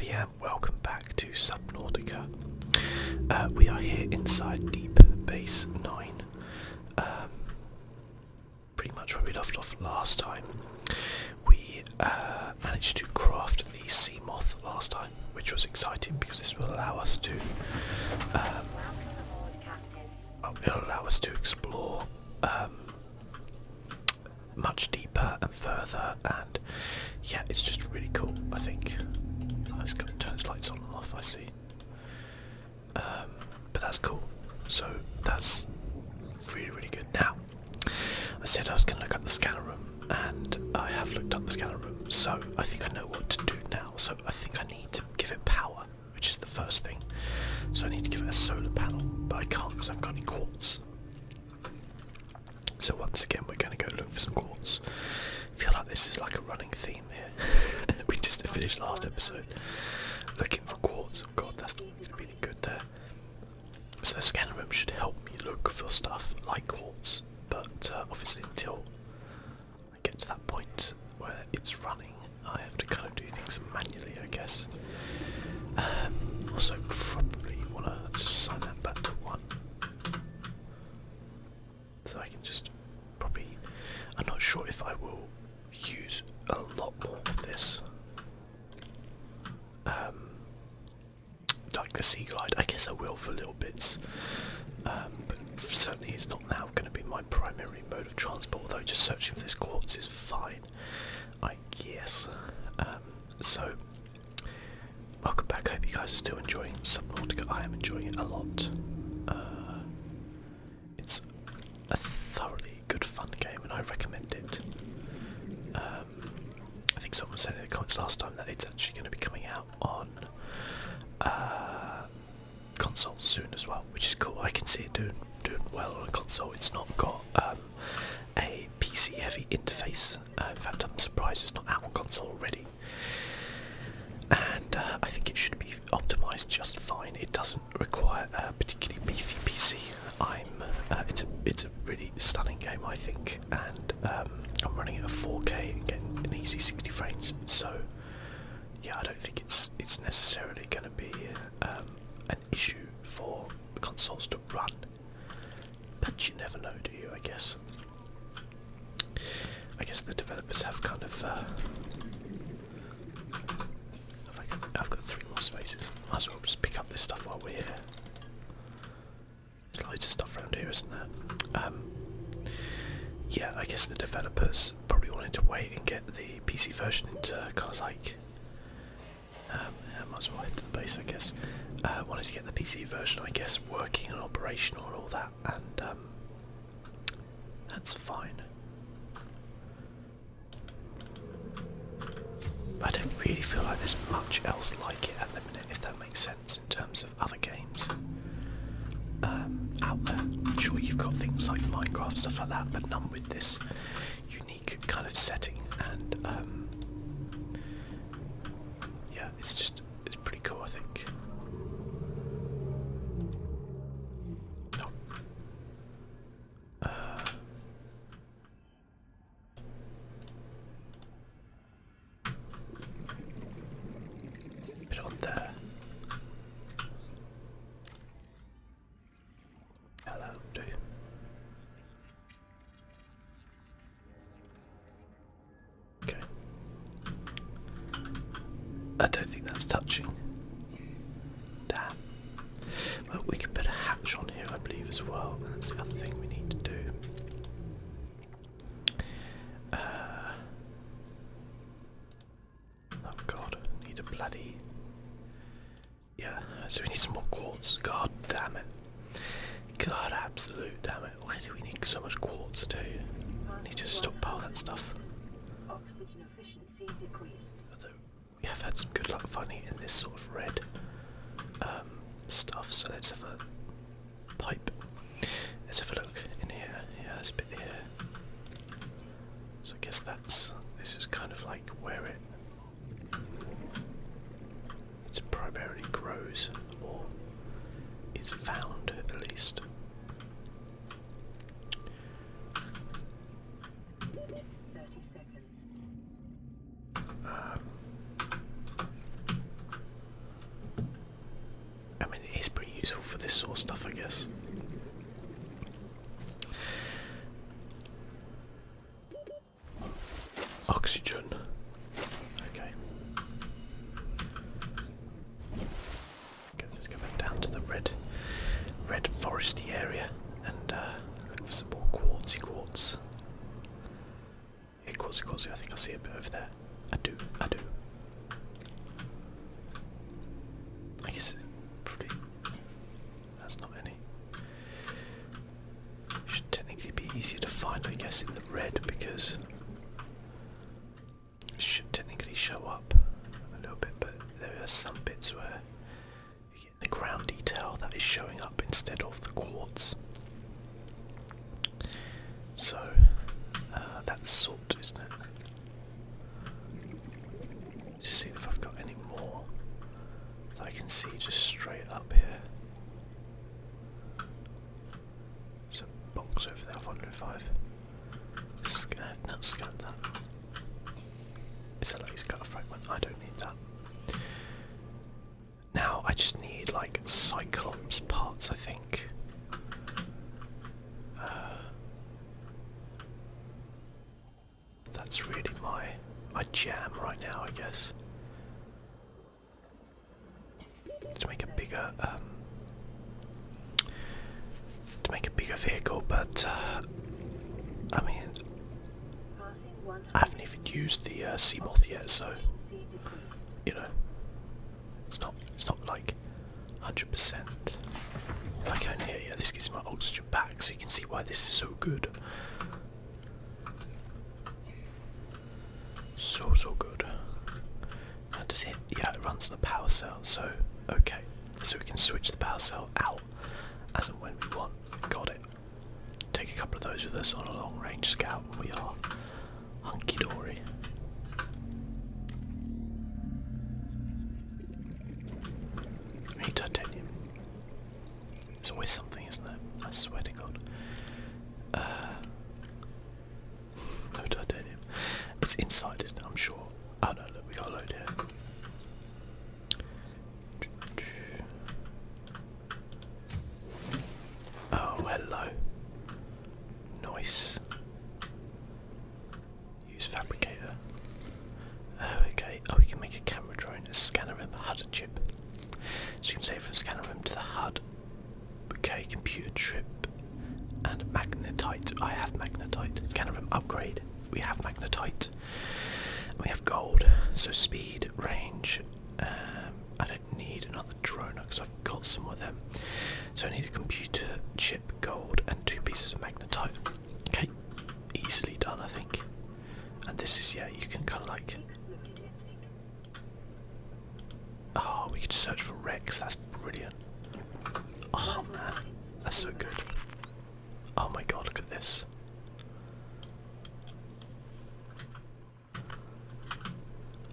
Yeah, welcome back to Sub Uh, we are here inside Deep Base 9, um, pretty much where we left off last time. We uh, managed to craft the sea last time, which was exciting because this will allow us to. Um, aboard, Captain. Uh, It'll allow us to explore um, much deeper and further and yeah it's just really cool I think. I just gotta turn his lights on and off I see. Um, but that's cool. So that's really really good. Now I said I was gonna look up the scanner room and I have looked up the scanner room so I think I know what to do now. So I think I need to give it power which is the first thing. So I need to give it a solar panel but I can't because I've got any quartz. So once again, we're going to go look for some quartz. I feel like this is like a running theme here. we just finished last episode looking for quartz. Oh god, that's not really good there. So the scanner room should help me look for stuff like quartz, but uh, obviously until I get to that point where it's running, I have to kind of do things manually, I guess. Um, also, probably want to sign that back to one. So I can just probably. I'm not sure if I will use a lot more of this. Um, like the sea glide, I guess I will for little bits, um, but certainly it's not now going to be my primary mode of transport. Although just searching for this quartz is fine, I guess. Um, so Welcome back. hope you guys are still enjoying Subnautica. I am enjoying it a lot. Uh, it's a thoroughly good fun game, and I recommend it. Um, I think someone said in the comments last time that it's actually going to be coming out on uh, consoles soon as well, which is cool. I can see it doing doing well on a console. It's not got um, a PC heavy interface. Uh, in fact, I'm surprised it's not out on console already. And uh, I think it should be optimized just fine. It doesn't require a particularly beefy PC. I'm. Uh, it's a. It's a really stunning game, I think, and um, I'm running it at 4K getting an easy 60 frames. So, yeah, I don't think it's it's necessarily going to be um, an issue for consoles to run but you never know, do you? I guess. I guess the developers have kind of. Uh, have I got, I've got three more spaces. Might as well just pick up this stuff while we're here. There's loads of stuff around here, isn't there? Um, yeah, I guess the developers probably wanted to wait and get the PC version into kind of like um, I might as well head to the base, I guess. I uh, wanted to get the PC version, I guess, working and operational and all that, and um, that's fine. I don't really feel like there's much else like it at the minute, if that makes sense, in terms of other games um, out there. I'm sure you've got things like Minecraft, stuff like that, but none with this unique kind of setting and yeah, it's just it's pretty cool, I think. Uh, put it on there. Hello, do Okay. I don't think that's touching. Damn. Well, we could put a hatch on here, I believe, as well. And that's the other thing we need to do. Uh, oh god, need a bloody. Yeah, so we need some more quartz. God damn it. God, absolute damn it! Why do we need so much quartz too? We need to stop stockpile that stuff. Oxygen efficiency decreased. Although we have had some good luck finding in this sort of red um, stuff, so let's have a pipe. Let's have a look in here. Yeah, there's a bit here. So I guess that's this is kind of like where it it primarily grows or is found at least. Um, I mean, it is pretty useful for this sort of stuff, I guess. Oxygen. Okay. let's go back down to the red, red foresty area and uh, look for some more quartzy quartz. Yeah, quartzy quartzy. I think I see a over there. I do. I do. I guess it's pretty. not any. Should technically be easier to find, I guess, in the red because it should technically show up a little bit, but there are some bits where you get the ground detail that is showing up instead of the quartz. So uh, that's sorted, isn't it? Just see if I've got any more that I can see just straight up here. There's a box over there, 105. I've not scanned that. It's a fragment, I don't need that. Now I just need like Cyclops parts, I think. Uh, that's really my my jam right now, I guess to make a bigger um, to make a bigger vehicle, but uh, I mean, I haven't even used the uh, moth yet, so you know, it's not it's not like 100%. Like on here, yeah, this gives my oxygen back, so you can see why this is so good. So, so good. does it, yeah, it runs the power cell, so, okay. So we can switch the power cell out as and when we want. Got it. Take a couple of those with us on a long range scout, we are hunky dory. Hey, there's always something, isn't it? I swear to God. Uh, no titanium. It's inside, is now. I'm sure. I oh, no, look, we got a Oh, hello. Nice. Use fabricator. Oh, okay. Oh, we can make a camera drone, a scanner, and HUD chip. So you can save from scanner room to the HUD. Okay, computer chip and magnetite. I have magnetite. Scanner room upgrade. We have magnetite. we have gold. So speed, range. Um, I don't need another drone because I've got some of them. So I need a computer chip, gold, and two pieces of magnetite. Okay, easily done, I think. And this is yeah, you can kind of like Oh, we could search for Rex. That's brilliant. Oh man, that's so good. Oh my god, look at this.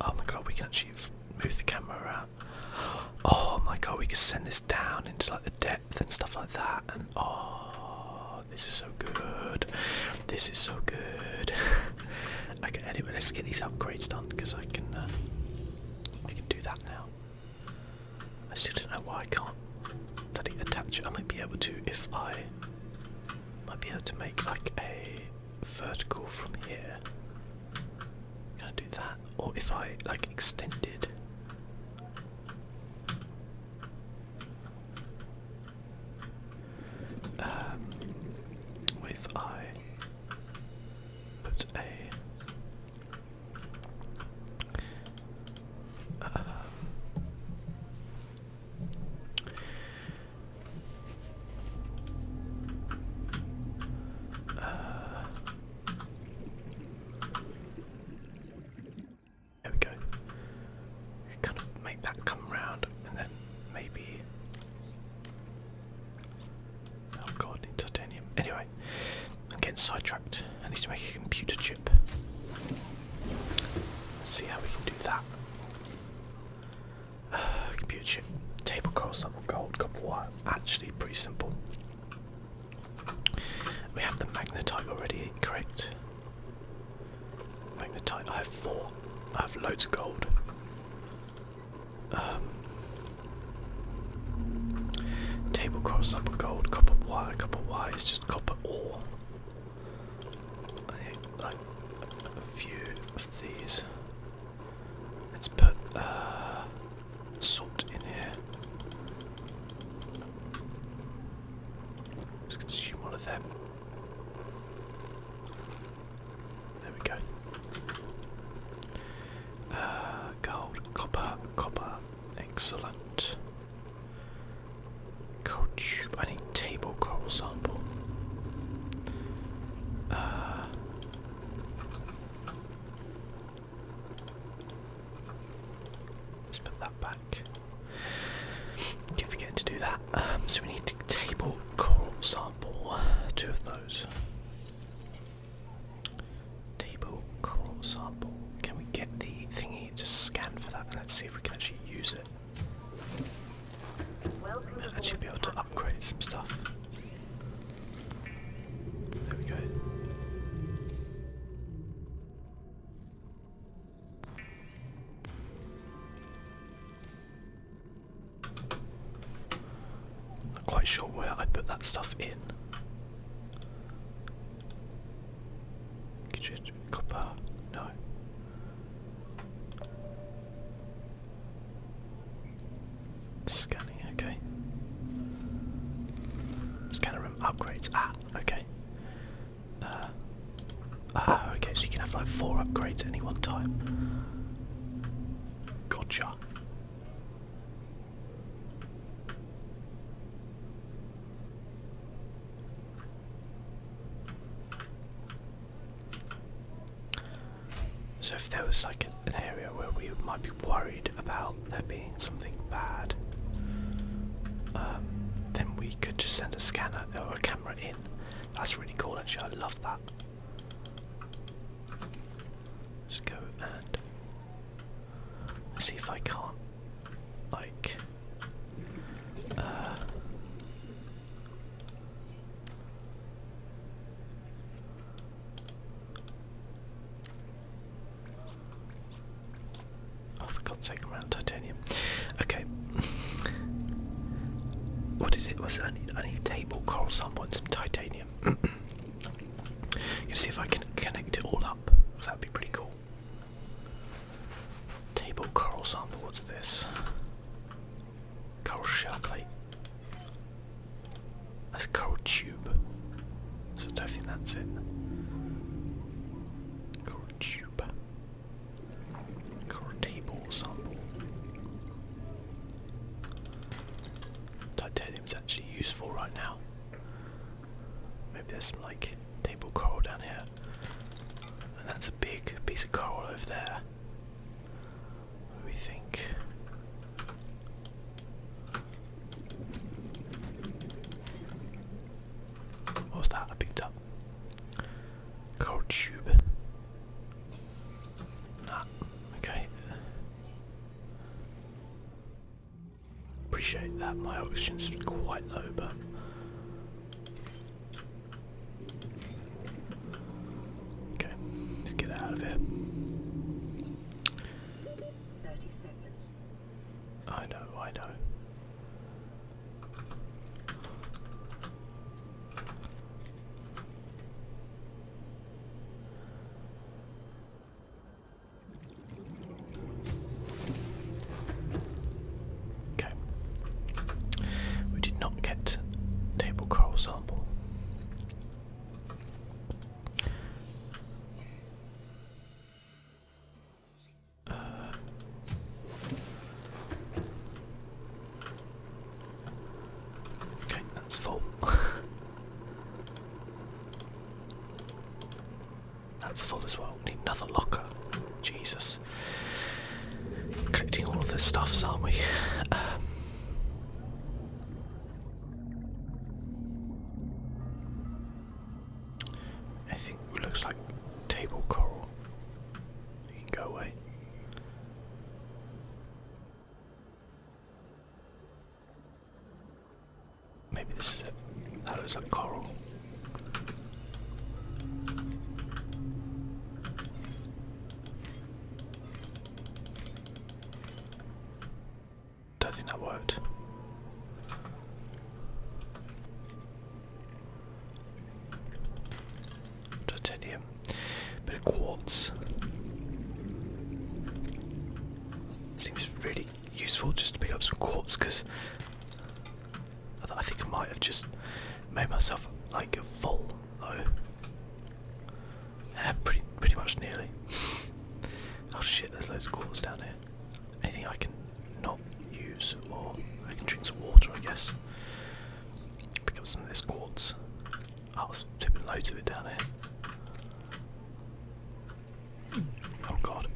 Oh my god, we can actually move the camera around. Oh my god, we could send this down into like the depth and stuff like that. And oh, Oh, this is so good. This is so good. anyway, let's get these upgrades done because I can. Uh, can do that now. I still don't know why I can't. Daddy, attach. I might be able to if I might be able to make like a vertical from here. Can I do that? Or if I like extended. Um, with I put a um, uh, there we go kind of make that come round and then maybe Oh god, titanium. Anyway, I'm getting sidetracked. I need to make a computer chip. Let's see how we can do that. Uh, computer chip. Table coal, silver gold, copper wire. Actually pretty simple. We have the magnetite already, correct? Magnetite, I have four. I have loads of gold. Um, table cross, upper gold, copper wire, copper wire is just copper ore. a few of these. Let's put uh, salt in here. Let's consume one of them. There we go. Uh, gold, copper, copper, excellent. Gold tube, I need table coral sample. Uh, let's put that back. Keep forgetting to do that. Um, so we need table coral sample uh, two of those. Table coral sample. Can we get the thingy to scan for that? Let's see if we can actually use it. We'll actually be able to upgrade some stuff. There we go. Not quite sure where I put that stuff in. Copper? No. Scanning, okay. Scanner room upgrades. Ah, okay. Uh, ah, okay, so you can have like four upgrades at any one time. Gotcha. So if there was like an area where we might be worried about there being something bad, um, then we could just send a scanner or a camera in that's really cool actually, I love that. Let's go and see if I can't like uh Oh for God's sake, titanium. Okay. what is it? Was I need I table, coral sample and some titanium. I'm see if I can connect it all up, because that'd be pretty cool. Table coral sample, what's this? Coral shell plate. That's coral tube. So I don't think that's it. Coral tube. Cortable sample. Titanium's actually useful right now. Maybe there's some like table coral down here. And that's a big piece of coral over there. What do we think? What was that I picked up? CodeTube. Nah, okay. Appreciate that. My oxygen's quite low, but. Okay, let's get out of here. I know, I know. Okay. We did not get table coral sample. Uh, okay, that's full. that's full as well. We need another locker. Jesus. Collecting all of the stuffs, aren't we? Um, I think it looks like table coral go away. Maybe this is it. That was a coral. Don't think that worked. Titanium. Bit of quartz. Seems really useful just to pick up some quartz because I think I might have just made myself like a full though. pretty, pretty much nearly. oh shit, there's loads of quartz down here. Anything I can use, or I can drink some water, I guess. Pick up some of this quartz. Oh, I was tipping loads of it down here. Oh god,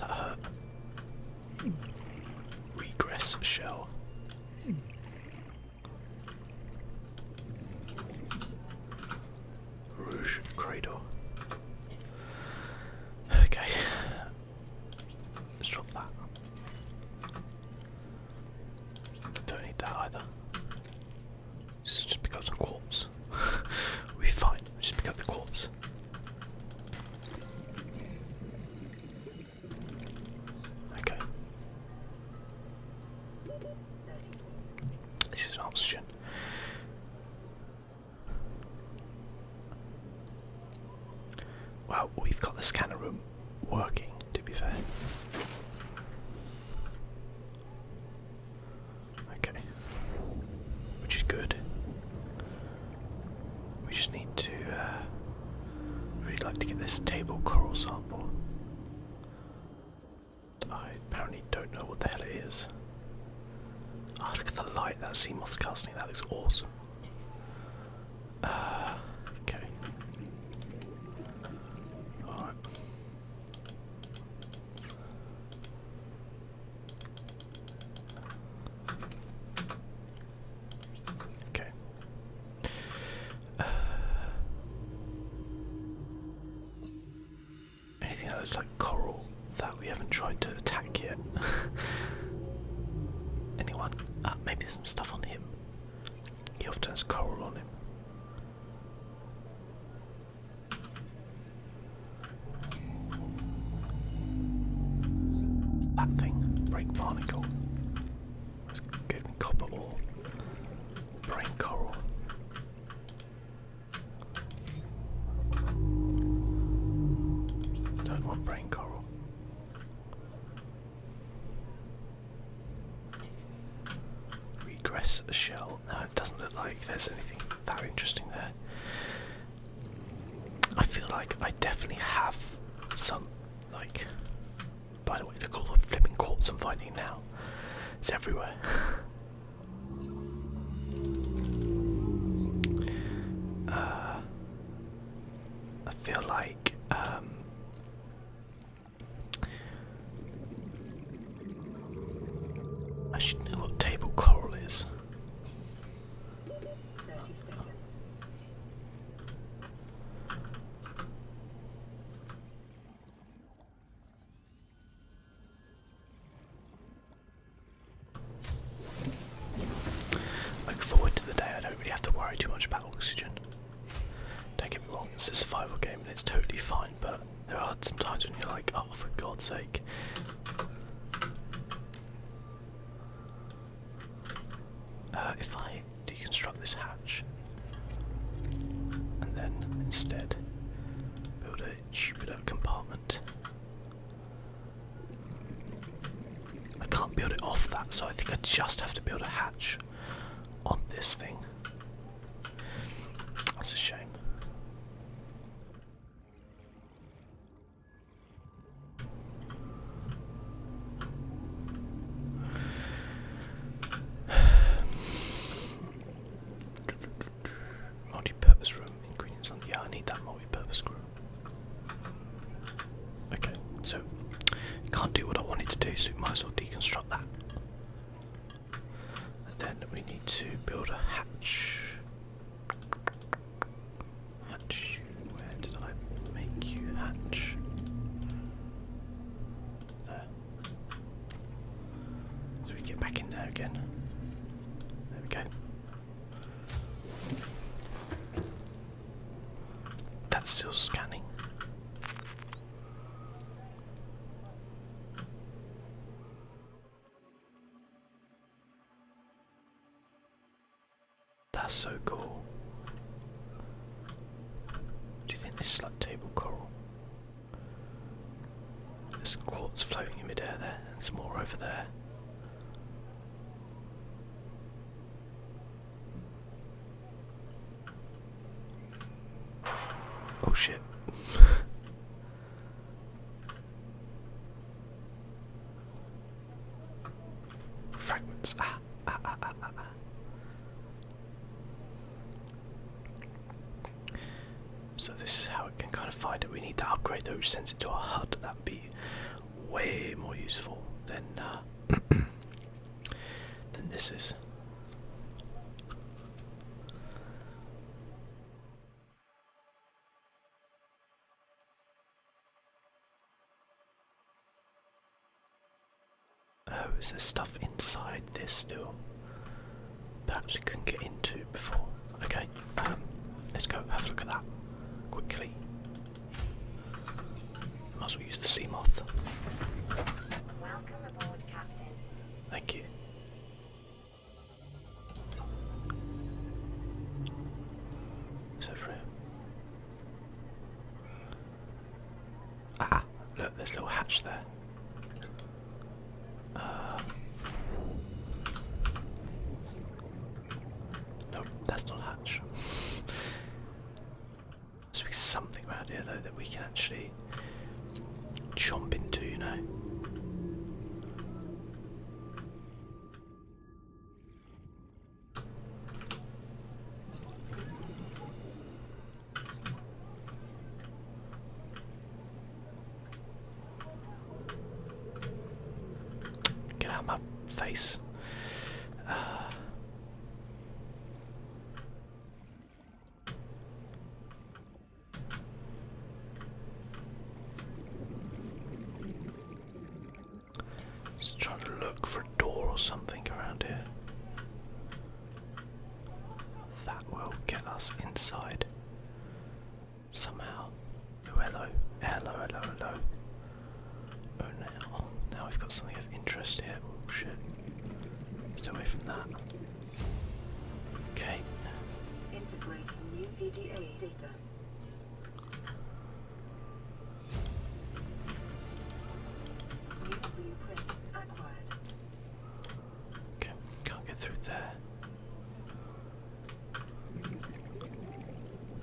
that hurt. Regress shell. Rouge Cradle. Okay, Let's drop that. Don't need that either. This just becomes a corpse. we fine. just pick up the corpse. Okay. This is oxygen. Well, we've got the scanner room working, to be fair. Okay. Which is good. We just need to, uh, really like to get this table coral sample. I apparently don't know what the hell it is. Ah, look at the light that Seamoth's casting, that looks awesome. Uh, okay. All right. Okay. Uh, anything that looks like coral that we haven't tried to attack yet? Anyone? Ah, maybe there's some stuff on him. He often has coral on him. That thing, break barnacle. Let's give Brain coral. Don't want brain coral. Regress shell. No, it doesn't look like there's anything that interesting there. I feel like I definitely have some, like, by the way, look at all the flipping corpse I'm finding now. It's everywhere. uh, I feel like I should know what table coral is. Look forward to the day I don't really have to worry too much about oxygen. Don't get me wrong, it's a survival game and it's totally fine, but there are some times when you're like, oh, for God's sake. Uh, if I deconstruct this hatch and then instead build a tubular compartment I can't build it off that, so I think I just have to build a hatch on this thing. That's a shame. Multi-purpose room ingredients Yeah, I need that multi-purpose room. Okay, so you can't do what I wanted to do, so we might as well deconstruct that. And then we need to build a hatch. Hatch, where did I make you hatch? There. So we get back in there again. There we go. That's still scanning. That's so cool. Do you think this is like table coral? There's quartz floating in midair there, and some more over there. Oh shit. Fragments. Ah, ah, ah, ah, ah, So this is how we can kind of find it. We need to upgrade though, which sends it to a HUD. That would be way more useful than uh, than this is. Oh, is there stuff inside this still? Perhaps we couldn't get into before. Okay, um, let's go have a look at that quickly. Might as well use the sea moth. Welcome aboard, Captain. Thank you. What's over Ah, look, there's a little hatch there. Uh, Nope, that's not hatch. There's something around here though that we can actually jump into, you know. Get out my face. Uh, just trying to look for a door or something around here. That will get us inside somehow. Oh, hello, hello, hello, hello. Oh, now. Now we've got something of interest here. Oh, shit. Stay away from that. Okay. Integrating new PDA data. Okay, can't get through there.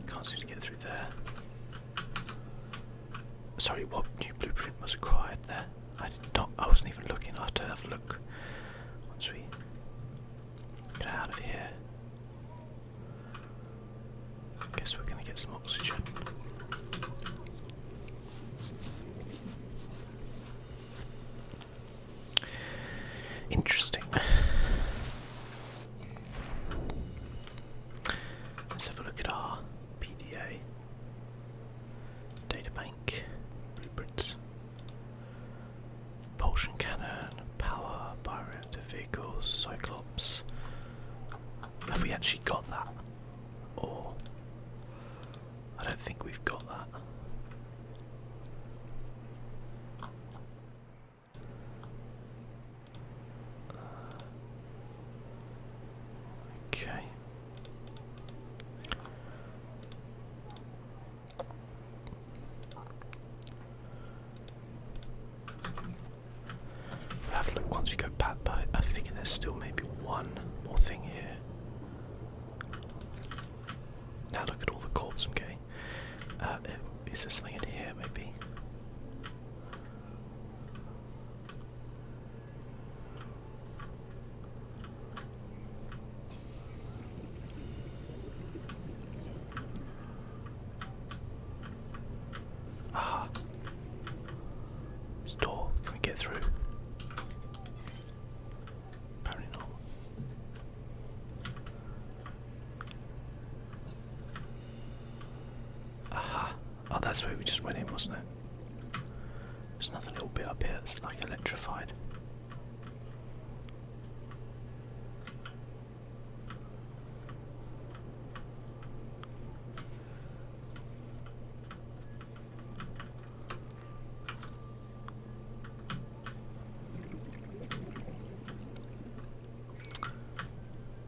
Can't seem to get through there. Sorry, what new blueprint was required there? I did not. I wasn't even looking. I have to have a look once we get out of here. I guess we're gonna get some oxygen. Interesting. Let's have a look at our PDA data bank blueprints. Propulsion cannon, power, bioreactor vehicles, cyclops. Have we actually got that? Or I don't think we've got that okay. have a look once we go back, but I figure there's still maybe one more thing here. Now look at all the corpses i uh, is there something here maybe? Ah, this door. Can we get through? Apparently not. Aha. Oh, that's where we just went in, wasn't it? There's another little bit up here It's like electrified.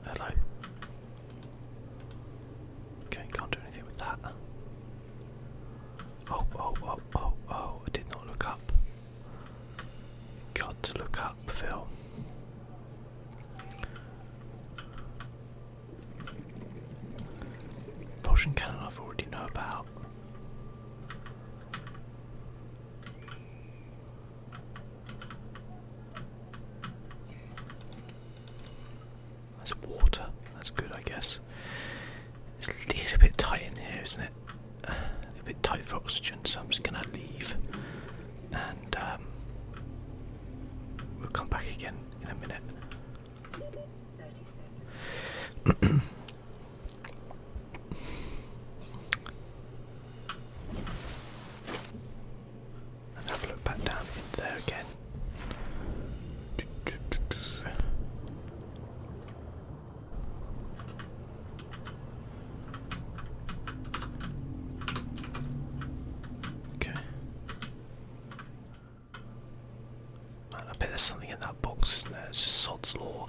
Hello. Okay, can't do anything with that. Oh, oh, oh, oh, oh, I did not look up. Got to look up, Phil. Potion cannon I've already know about. That's water. That's good, I guess. It's a little bit tight in here, isn't it? a little bit tight for oxygen, so I'm just gonna leave, and um, we'll come back again in a minute. and have a look back down in there again. Okay. I bet there's something in that box. There's Sod's Law.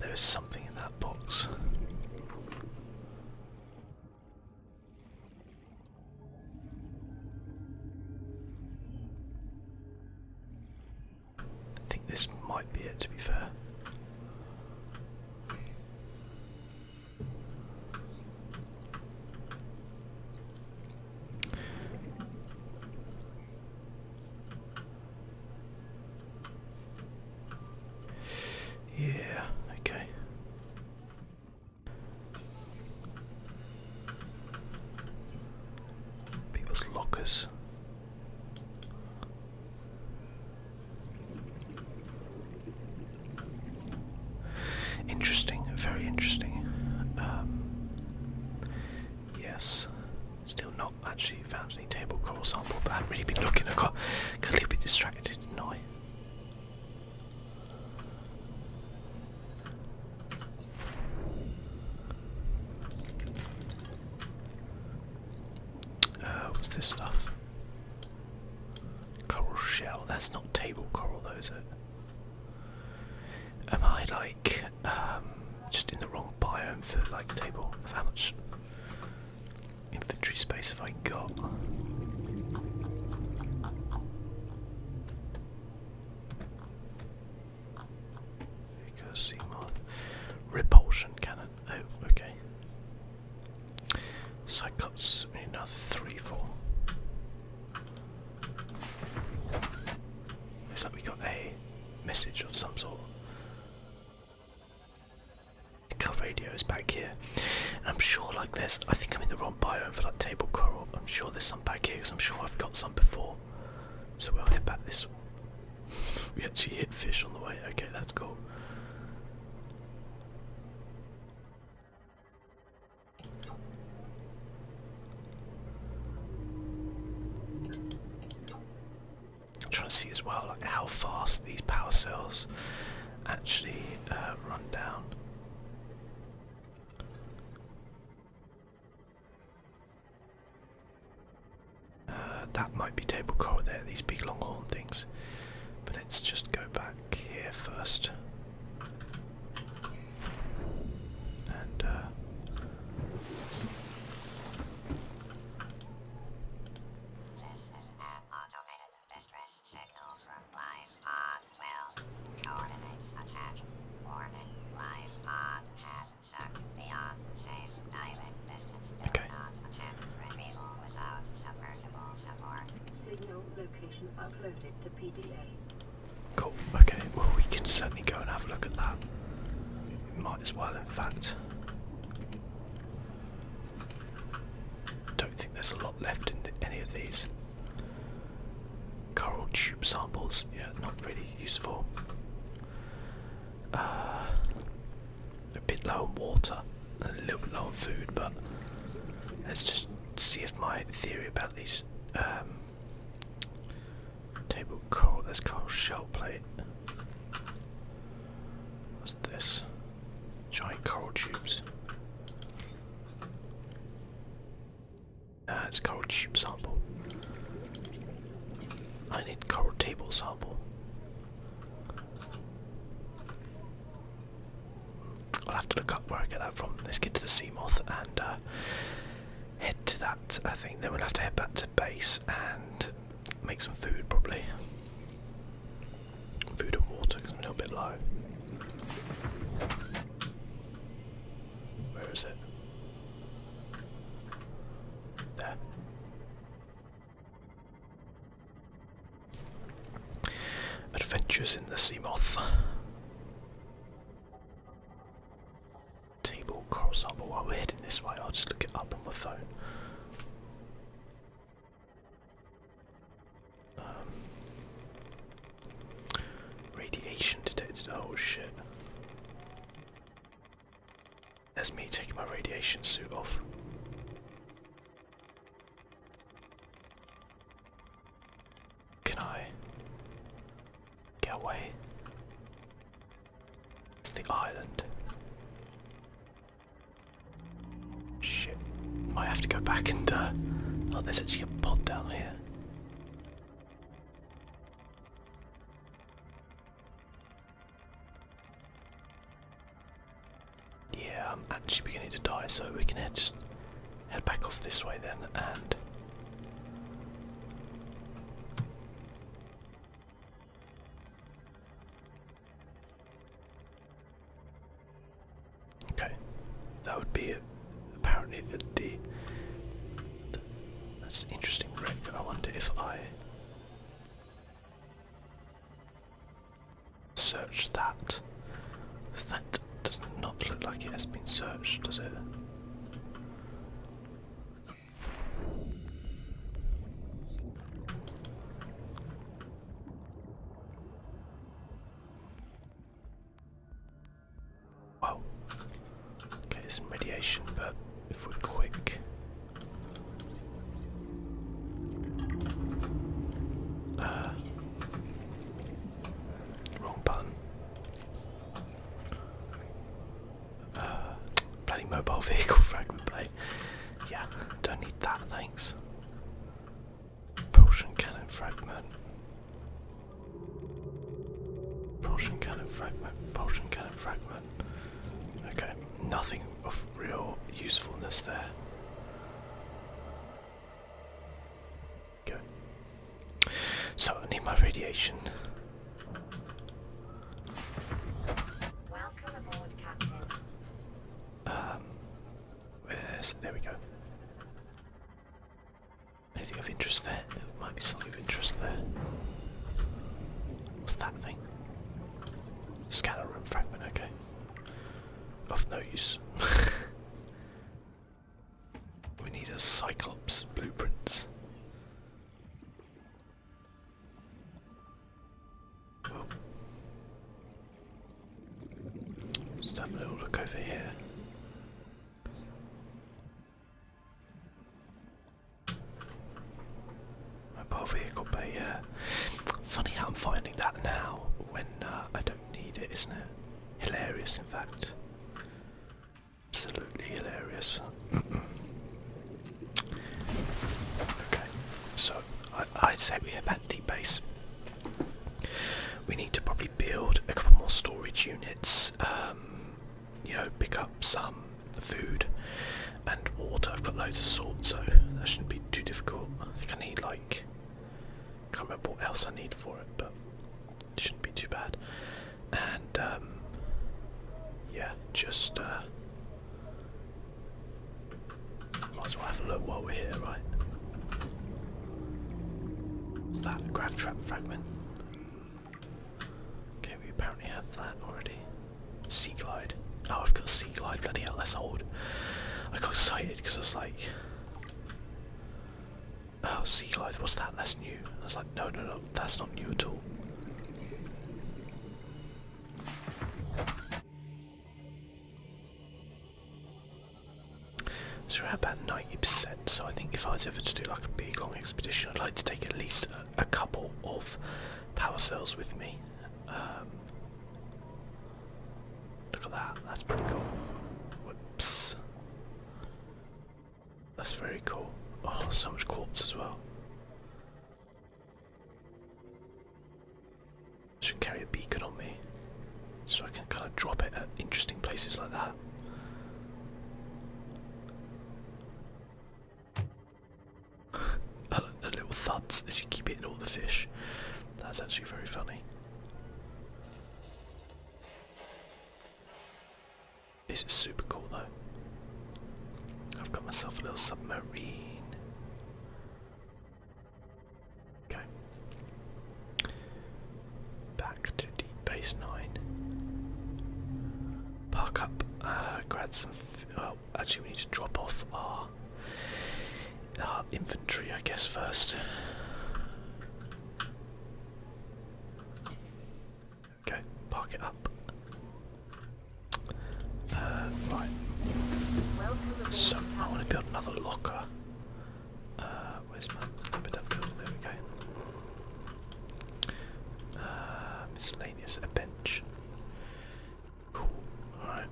There is something in that box. I think this might be it, to be fair. Yeah, okay. People's lockers. Interesting, very interesting. Um, yes, still not actually found any table core sample, but I haven't really been looking. I got, got a little bit distracted, did uh, what's this stuff? Coral shell. That's not table coral, though, is it? Am I like um, just in the wrong biome for like table? How Infantry space have I got? Because Seamoth. Repulsion cannon. Oh, okay. Cyclops, another three, four. Looks like we got a message of some sort. Cove radios back here. I'm sure like this. I think I'm in the wrong biome for like table coral. I'm sure there's some back here because I'm sure I've got some before. So we'll head back this. we actually hit fish on the way. Okay, that's cool. I'm trying to see as well like how fast these power cells actually uh, run down. Uh, that might be table coral there, these big long horn things. But let's just go back here first. And, uh, Distress signal from live pod Coordinates attached. Warning, live pod has sunk beyond safe diving distance. Do okay. not attempt without submersible Signal location uploaded to PDA. Cool, okay, well we can certainly go and have a look at that. Might as well in fact. Don't think there's a lot left in any of these. Coral tube samples, yeah, not really useful. Uh, a bit low on water, a little bit low on food, but let's just see if my theory about these um, table coral, this coral shell plate. What's this? Giant coral tubes. That's it's coral tube sample. I need coral table sample. I'll have to look up where I get that from. Let's get to the sea moth and uh, head to that I think. Then we'll have to head back to base and make some food probably food and water because I'm a little bit low. Where is it? There. Adventures in the Seamoth. Table Coral But while we're heading this way, I'll just look it up on my phone. Um, radiation detected. Oh shit. That's me taking my radiation suit off. Can I get away? It's the island. Shit. I have to go back and, uh... Oh, there's actually a pod down here. Yeah, I'm actually beginning to die, so we can head, just head back off this way then, and... Okay, that would be apparently that the, the that's an interesting wreck. I wonder if I search that. That does not look like it has been searched, does it? Wow. Okay, there's some radiation, but if we're quick. Uh, wrong button. Uh, bloody mobile vehicle fragment blade. Yeah, don't need that, thanks. Potion cannon fragment. Potion cannon fragment. Potion cannon fragment. Okay, nothing of real usefulness there. Okay. So I need my radiation. Welcome aboard, Captain. Um, there we go. Anything of interest there? There might be something of interest there. What's that thing? Scanner room fragment, okay. Of no use. we need a Cyclops blueprints. Let's have a little look over here. Mobile vehicle bay, yeah. Funny how I'm finding that now when uh, I don't need it, isn't it? Hilarious, in fact. Absolutely hilarious. okay, so I, would say we're the base. We need to probably build a couple more storage units, um, you know, pick up some food and water. I've got loads of salt, so that shouldn't be too difficult. I think I need like, can't remember what else I need for it, but it shouldn't be too bad. And um, yeah, just uh, might as well have a look while we're here, right? What's that? Grav trap fragment. Okay, we apparently have that already. Sea glide. Oh, I've got sea glide. Bloody hell, that's old. I got excited because I was like, "Oh, sea glide. What's that? That's new." I was like, "No, no, no. That's not new at all." So we're about 90%, so I think if I was ever to do like a big long expedition, I'd like to take at least a, couple of power cells with me. Um, look at that, that's pretty cool. Whoops. That's very cool. Oh, so much quartz as well. Should carry a beacon on me, so I can kind of drop it at interesting places like that. the little thuds as you keep hitting all the fish. That's actually very funny. This is super cool though. I've got myself a little submarine. Okay. Back to deep base nine. Park up. Uh, grab some. Well, oh, actually, we need to drop off our our inventory, I guess, first. Okay, park it up. Uh, right. So I want to build another locker. Uh, where's my habitat building? There we go. Uh, miscellaneous, a bench. Cool. Alright.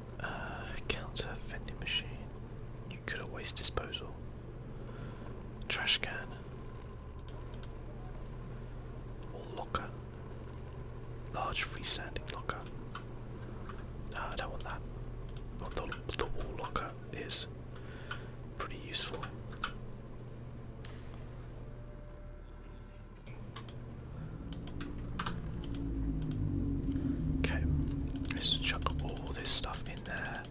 counter, vending machine, You could nuclear waste disposal, trash can, locker. Large freestanding locker. No, I don't want that. But the, the wall locker is pretty useful. Okay, let's chuck all this stuff in there.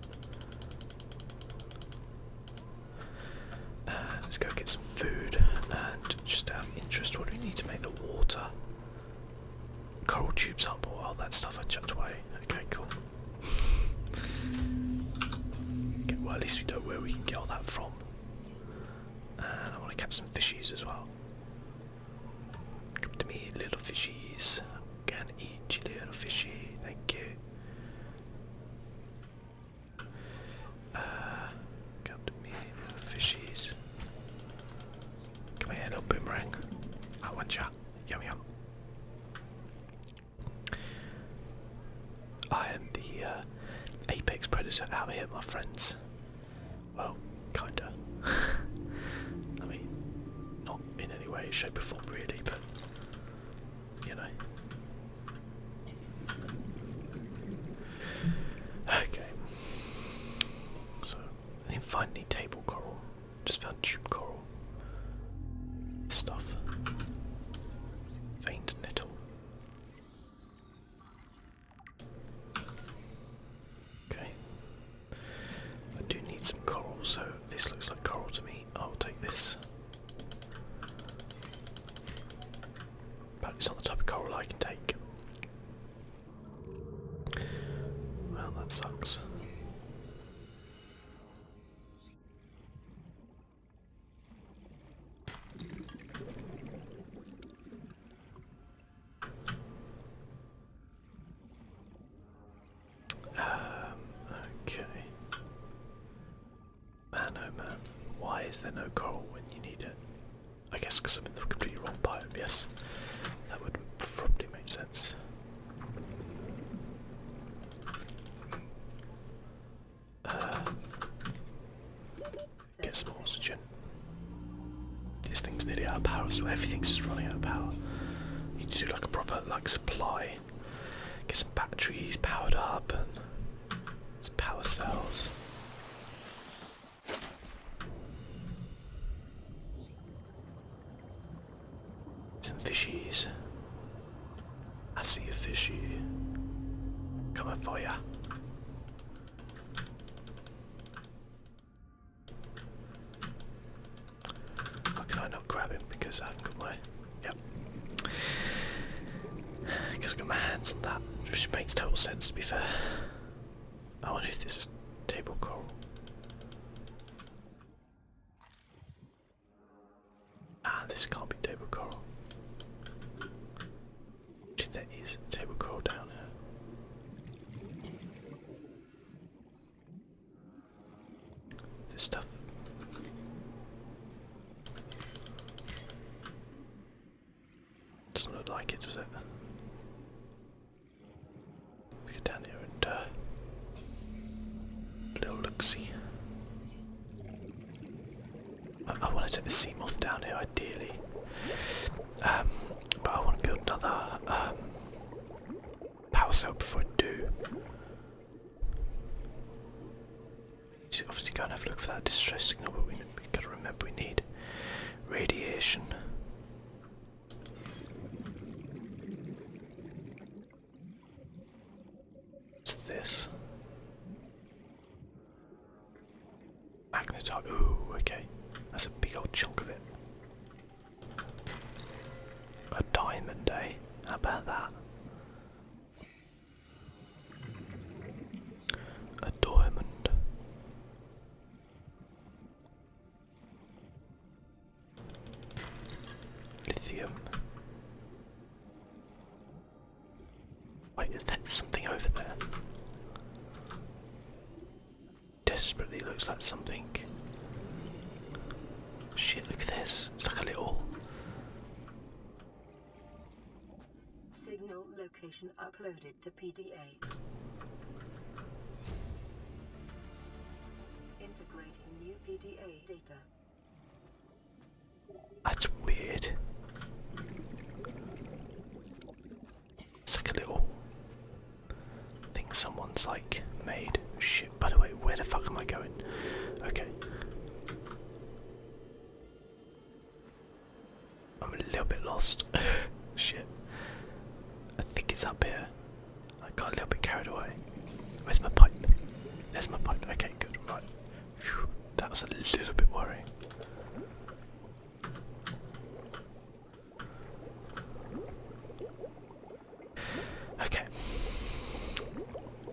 Uh, let's go get some food and just out interest, what do we need to make the water? Coral tubes up or oh, all that stuff I chucked away. Okay, cool. well, at least we know where we can get all that from. And I want to catch some fishies as well. Come to me, little fishies. Can eat you, little fishy. Thank you. Uh, come to me, little fishies. Come here, little boomerang. I want ya. Yum yum. I am the uh, apex predator out here, my friends. Well, kinda. I mean, not in any way, shape, or form, really, but you know. Okay. So I didn't find any table coral, just found tube coral. Stuff. Veined nettle. Okay. I do need some coral, so this looks like coral to me. I'll take this. But it's not the type of coral I can take. Well, that sucks. Um, okay. Man, oh man, why is there no coal when you need it? I guess because I'm in the completely wrong biome, yes. That would probably make sense. Uh, get some oxygen. This thing's nearly out of power, so everything's just running out of power. need to do like a proper like supply. Get some batteries powered up and some power cells. Some fishies. I see a fishy. Coming for ya. How can I not grab him? Because I have got my. Yep. Because I've got my hands on that, which makes total sense to be fair. I oh, wonder if this is table coral. Ah, this can't be table coral. If there is table coral down here. This stuff. Doesn't look like it, does it? Let's get down here and a uh, little look see. I, want to take the sea moth down here ideally, um, but I want to build another um, power cell before I do. obviously go and have a look for that distress signal, but we, we gotta remember we need radiation. What's this? Magnetar. Ooh, okay. That's a big old chunk of it. A diamond, eh? How about that? A diamond. Lithium. Wait, is that something over there? Desperately looks like something. Shit, look at this. It's like a little. Signal location uploaded allocated to PDA. Integrating new PDA data. That's weird. It's like a little think someone's like made. Shit, by the way, where the fuck am I going? Okay. I'm a little bit lost. Shit. I think it's up here. I got a little bit carried away. Where's my pipe? There's my pipe. Okay, good. Right. that was a little bit worrying. Okay.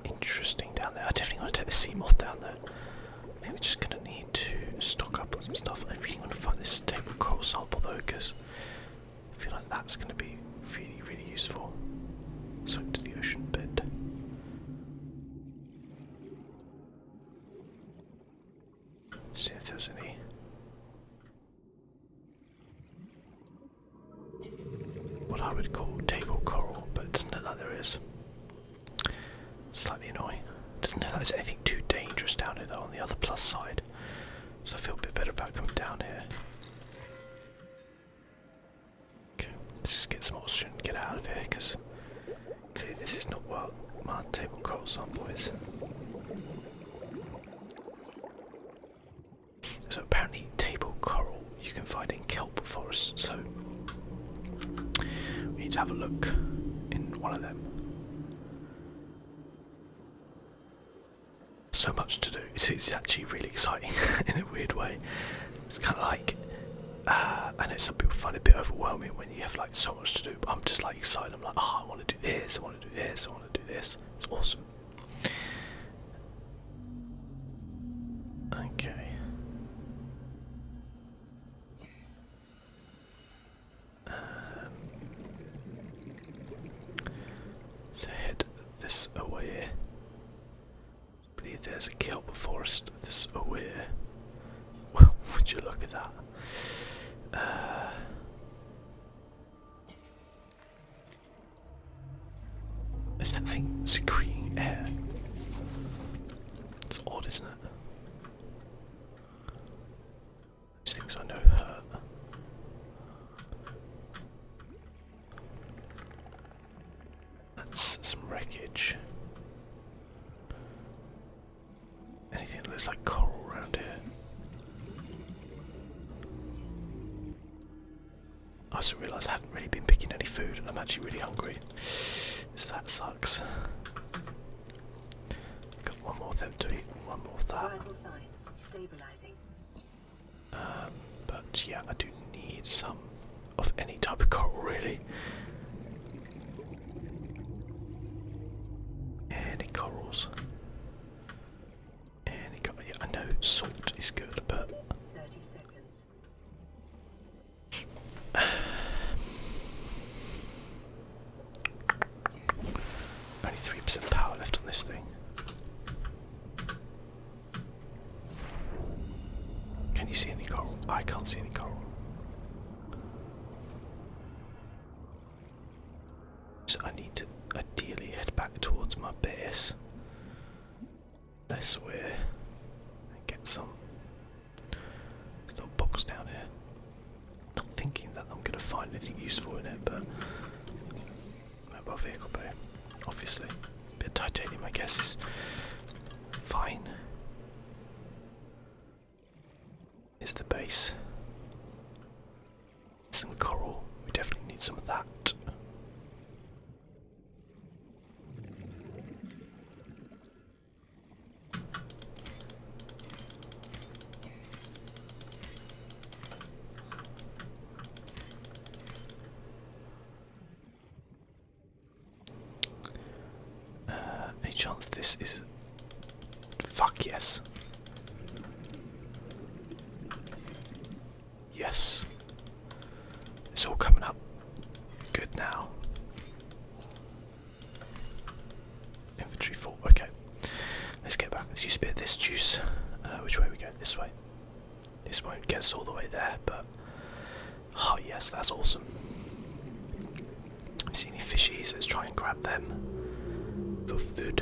Interesting down there. I definitely want to take the seam moth down there. I think we're just gonna need to stock up on some stuff. I really want to find this table coral sample though, because I feel like that's going to be really, really useful. So into the ocean bed. See if there's any. What I would call table coral, but it's not like there is. Slightly annoying. Doesn't know that there's anything too dangerous down here though on the other plus side. So I feel a bit better about coming down here. Okay, let's just get some oxygen and get out of here because this is not what my table calls on, boys. So apparently table coral you can find in kelp forests, so we need to have a look in one of them. So much to do. It's, actually really exciting in a weird way. It's kind of like, uh, I know some people find it a bit overwhelming when you have like so much to do, but I'm just like excited. I'm like, oh, I want to do this, I want to do this, I want to do this. It's awesome. Okay. Let's um, head this away. believe there's a kelp forest this way. Well, would you look at that? Uh, that thing secreting air? It's odd, isn't it? These things I know hurt. That's some wreckage. Anything that looks like coral around here. I also realise I haven't really been picking any food and I'm actually really hungry. So that sucks. Got one more of to eat, one more of that. Um, but yeah, I do need some of any type of coral really. Any corals? Any cor yeah, I know salt is good, but. 30 seconds. Only 3% power left on this thing. Can you see any coral? I can't see any coral. So I need to ideally head back towards my base. This way and get some little box down here. Not thinking that I'm going to find anything useful in it, but mobile vehicle bay, obviously. A bit of titanium, I guess, is fine. Is the base. Some coral, we definitely need some of that. Uh, A chance this is. Fuck yes. Yes. It's all coming up good now. Inventory full. Okay, let's get back. Let's use a bit of this juice. Uh, which way we go? This way. This way not get all the way there, but oh yes, that's awesome. See any fishies? Let's try and grab them for food,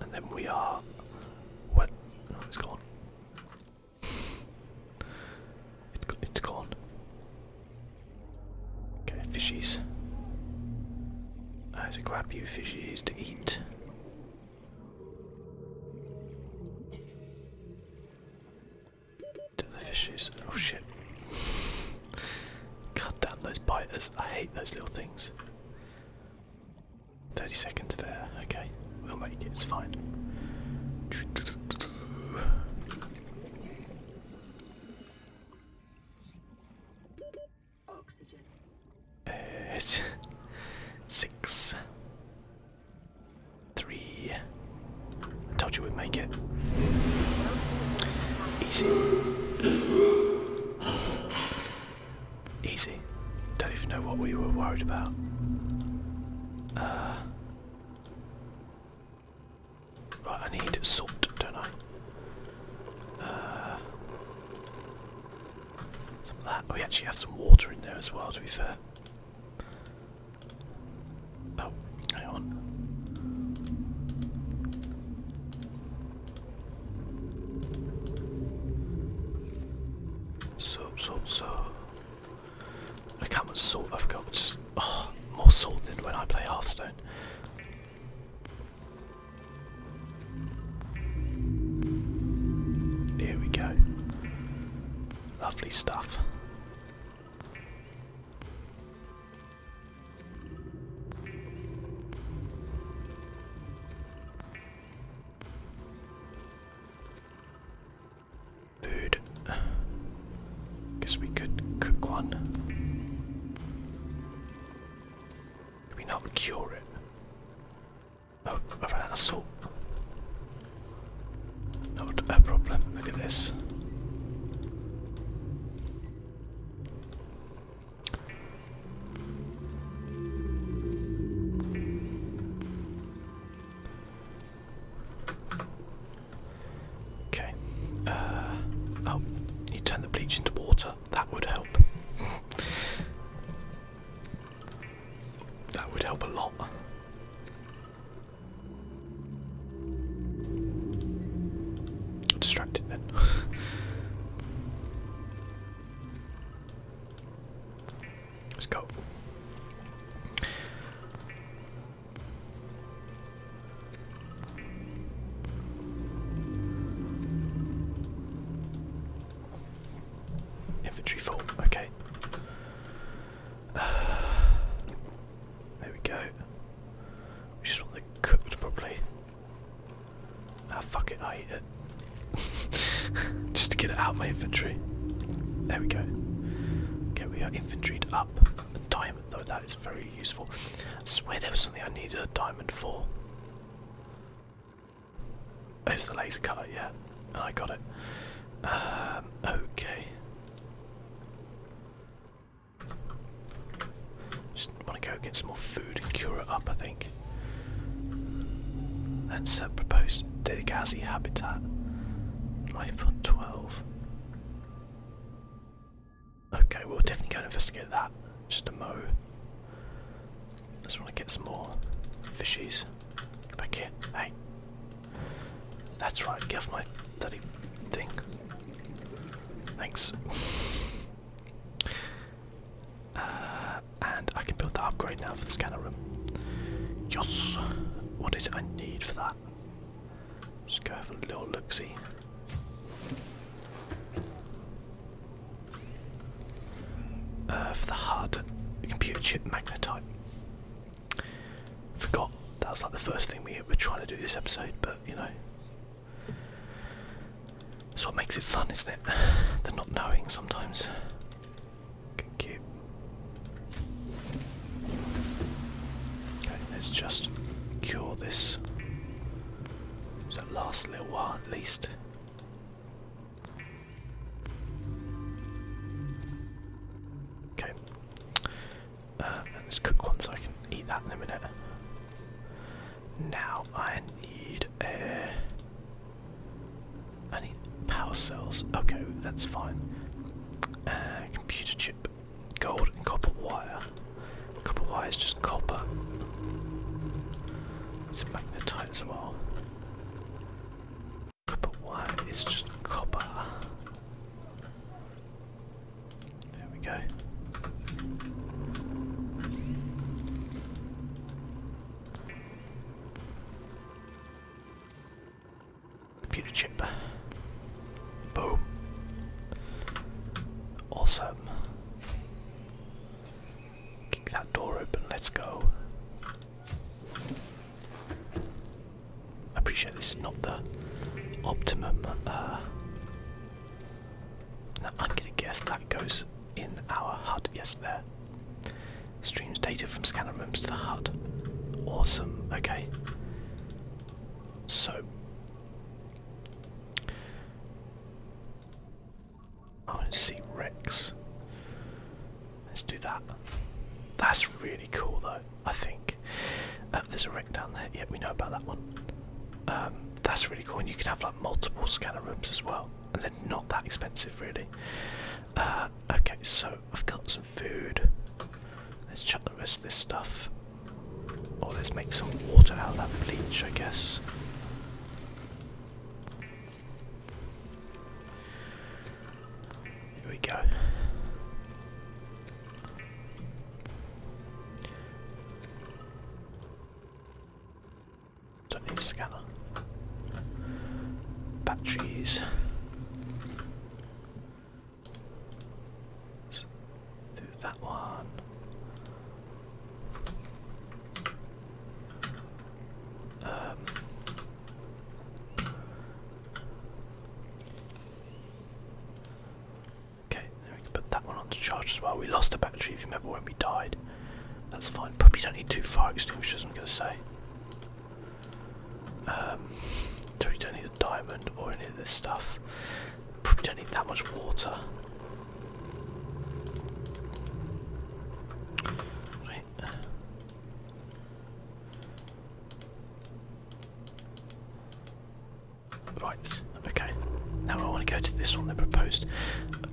and then we are. What? it's gone. it's gone. Okay, fishies. There's a grab you fishies to eat. To the fishies. Oh shit. God damn those biters. I hate those little things. 30 seconds there. Okay, we'll make it. It's fine. Oxygen. Eight. Six. Three. I told you we'd make it. Easy. Easy. Don't even know what we were worried about. Uh Right, I need salt, don't I? Uh, some of that. Oh, we actually have some water in there as well, to be fair. Oh, hang on. Salt, salt, salt. Look how much salt I've got. Oh, more salt than when I play Hearthstone. Here we go. Lovely stuff. Food. Guess we could cook one. Can we not cure it? Oh, I've a salt. Not a problem. Look at this. Okay. Uh, oh, you turn the bleach into water. That would help. that would help a lot. Distracted then. Let's go. Infantry full, okay. Uh, there we go. We just want to cook it properly. Ah fuck it, I eat it. just to get it out my inventory. There we go. Okay, we are infantryed up. Diamond though, that is very useful. I swear there was something I needed a diamond for. It's the laser cutter, yeah. I got it. Um, okay. Just want to go get some more food and cure it up, I think. That's a proposed Degazi habitat. Life 12. Okay, we'll definitely go and investigate that. Just a mo. Just want to get some more fishies. Get back here. Hey. That's right, Give off my bloody thing. Thanks. Uh, and I can build that upgrade now for the scanner room. Yes! What is it I need for that? Just go have a little look see. Uh, the hard computer chip magnetite. Forgot that was like the first thing we were trying to do this episode, but you know. That's what makes it fun, isn't it? The not knowing sometimes. Good, Okay, let's just cure this. So last little while at least. Okay. Uh, let's cook one so I can eat that in a minute. Now I need a. I need power cells. Okay, that's fine. Uh, computer chip gold and copper wire. Copper wire is just copper. It's magnetite as well. Copper wire is just copper. There we go. Computer chip. Boom. Awesome. Kick that door open, let's go. I appreciate this is not the optimum. Uh, I'm gonna guess that goes in our hut. Yes, there. Streams data from scanner rooms to the hut. Awesome. Okay. So I want see Rex. Let's do that. That's really cool though, I think. Uh, there's a wreck down there, yeah, we know about that one. Um, that's really cool, and you can have like multiple scanner rooms as well, and they're not that expensive really. Uh, okay, so I've got some food. Let's chuck the rest of this stuff. Oh, let's make some water out of that bleach, I guess. Here we go. Don't need a scanner. Batteries. Let's do that one. Um, okay, there we go. put that one on to charge as well. We lost a battery if you remember when we died. That's fine. Probably don't need two fire extinguishers, I'm going to say. Um, so you don't need diamond or any of this stuff. Probably don't need that much water. Right, okay. Now I want to go to this one they proposed.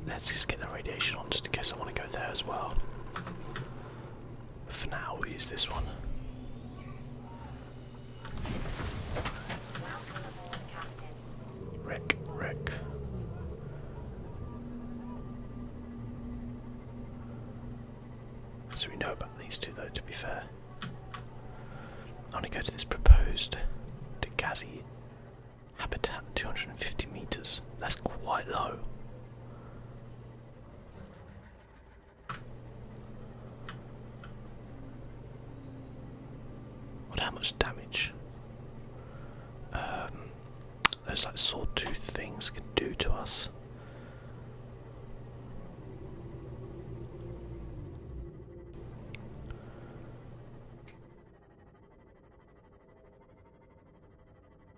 Let's just get the radiation on just in case I want to go there as well. For now, we use this one. Rick, Rick. So we know about these two though, to be fair. I want to go to this proposed Degazi habitat, 250 meters. That's quite low. What? How much damage? Um, those like sawtooth things can do to us.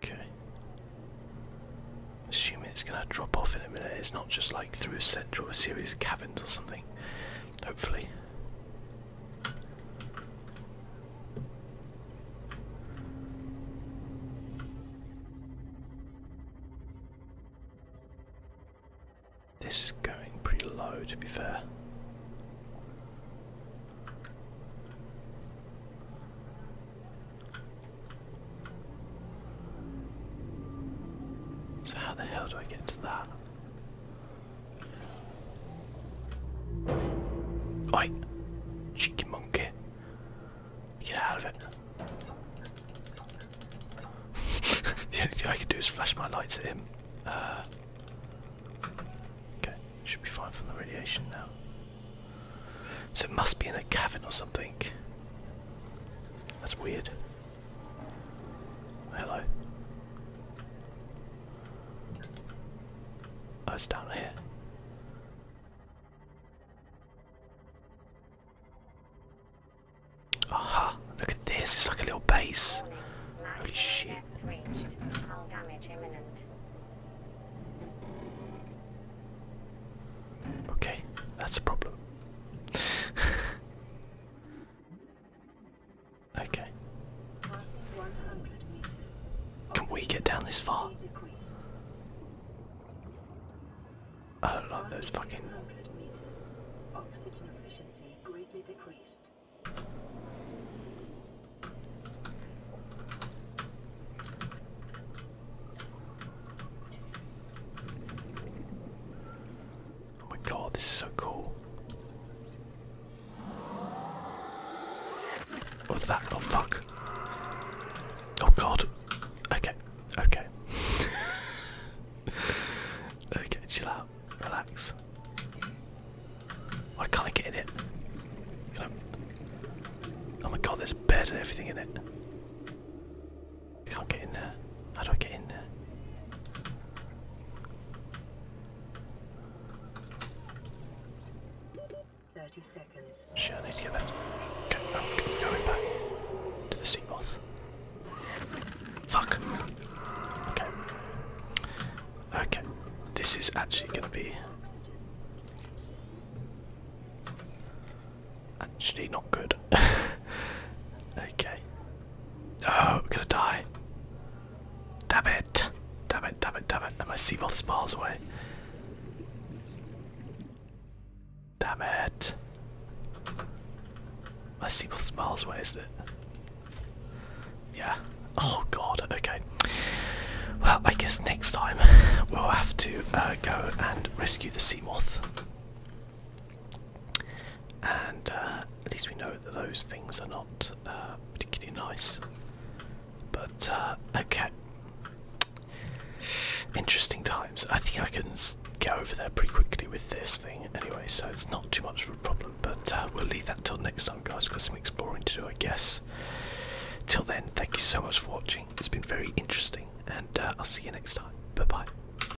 Okay. Assuming it's gonna drop off in a minute. It's not just like through a series of caverns or something hopefully. This is going pretty low, to be fair. So, how the hell do I get into that? Oi! Cheeky monkey. Get out of it. the only thing I can do is flash my lights at him. Uh, okay, should be fine from the radiation now. So it must be in a cavern or something. That's weird. Hello. Oh, it's down here. Aha! Look at this. It's like a little base. Holy shit! Okay, that's a problem. Okay. Can we get down this far? I do those fucking. Oxygen efficiency greatly decreased. Oh my god, this is so cool. What's that? Oh fuck. Oh god. Okay. Okay. okay, chill out. Relax. Why can't I get in it? Oh my god, there's a bed and everything in it. I can't get in there. How do I get in there? Thirty seconds. Sure, I need to get that. Okay, I'm going back to the sea moth. Fuck. Okay. Okay. This is actually gonna be actually not good. okay. Oh, I'm gonna die. Damn it. Damn it, damn it, damn it. And my Seamoth's smiles away. Damn it. My Seamoth's smiles away, isn't it? Yeah. Oh god, okay. Well, I guess next time we'll have to uh, go and rescue the moth. And uh, at least we know that those things are not uh, particularly nice. But uh, okay, interesting times. I think I can get over there pretty quickly with this thing anyway, so it's not too much of a problem. But we'll leave that till next time, guys. got some exploring to do, I guess. Till then, thank you so much for watching. It's been very interesting, and I'll see you next time. Bye bye.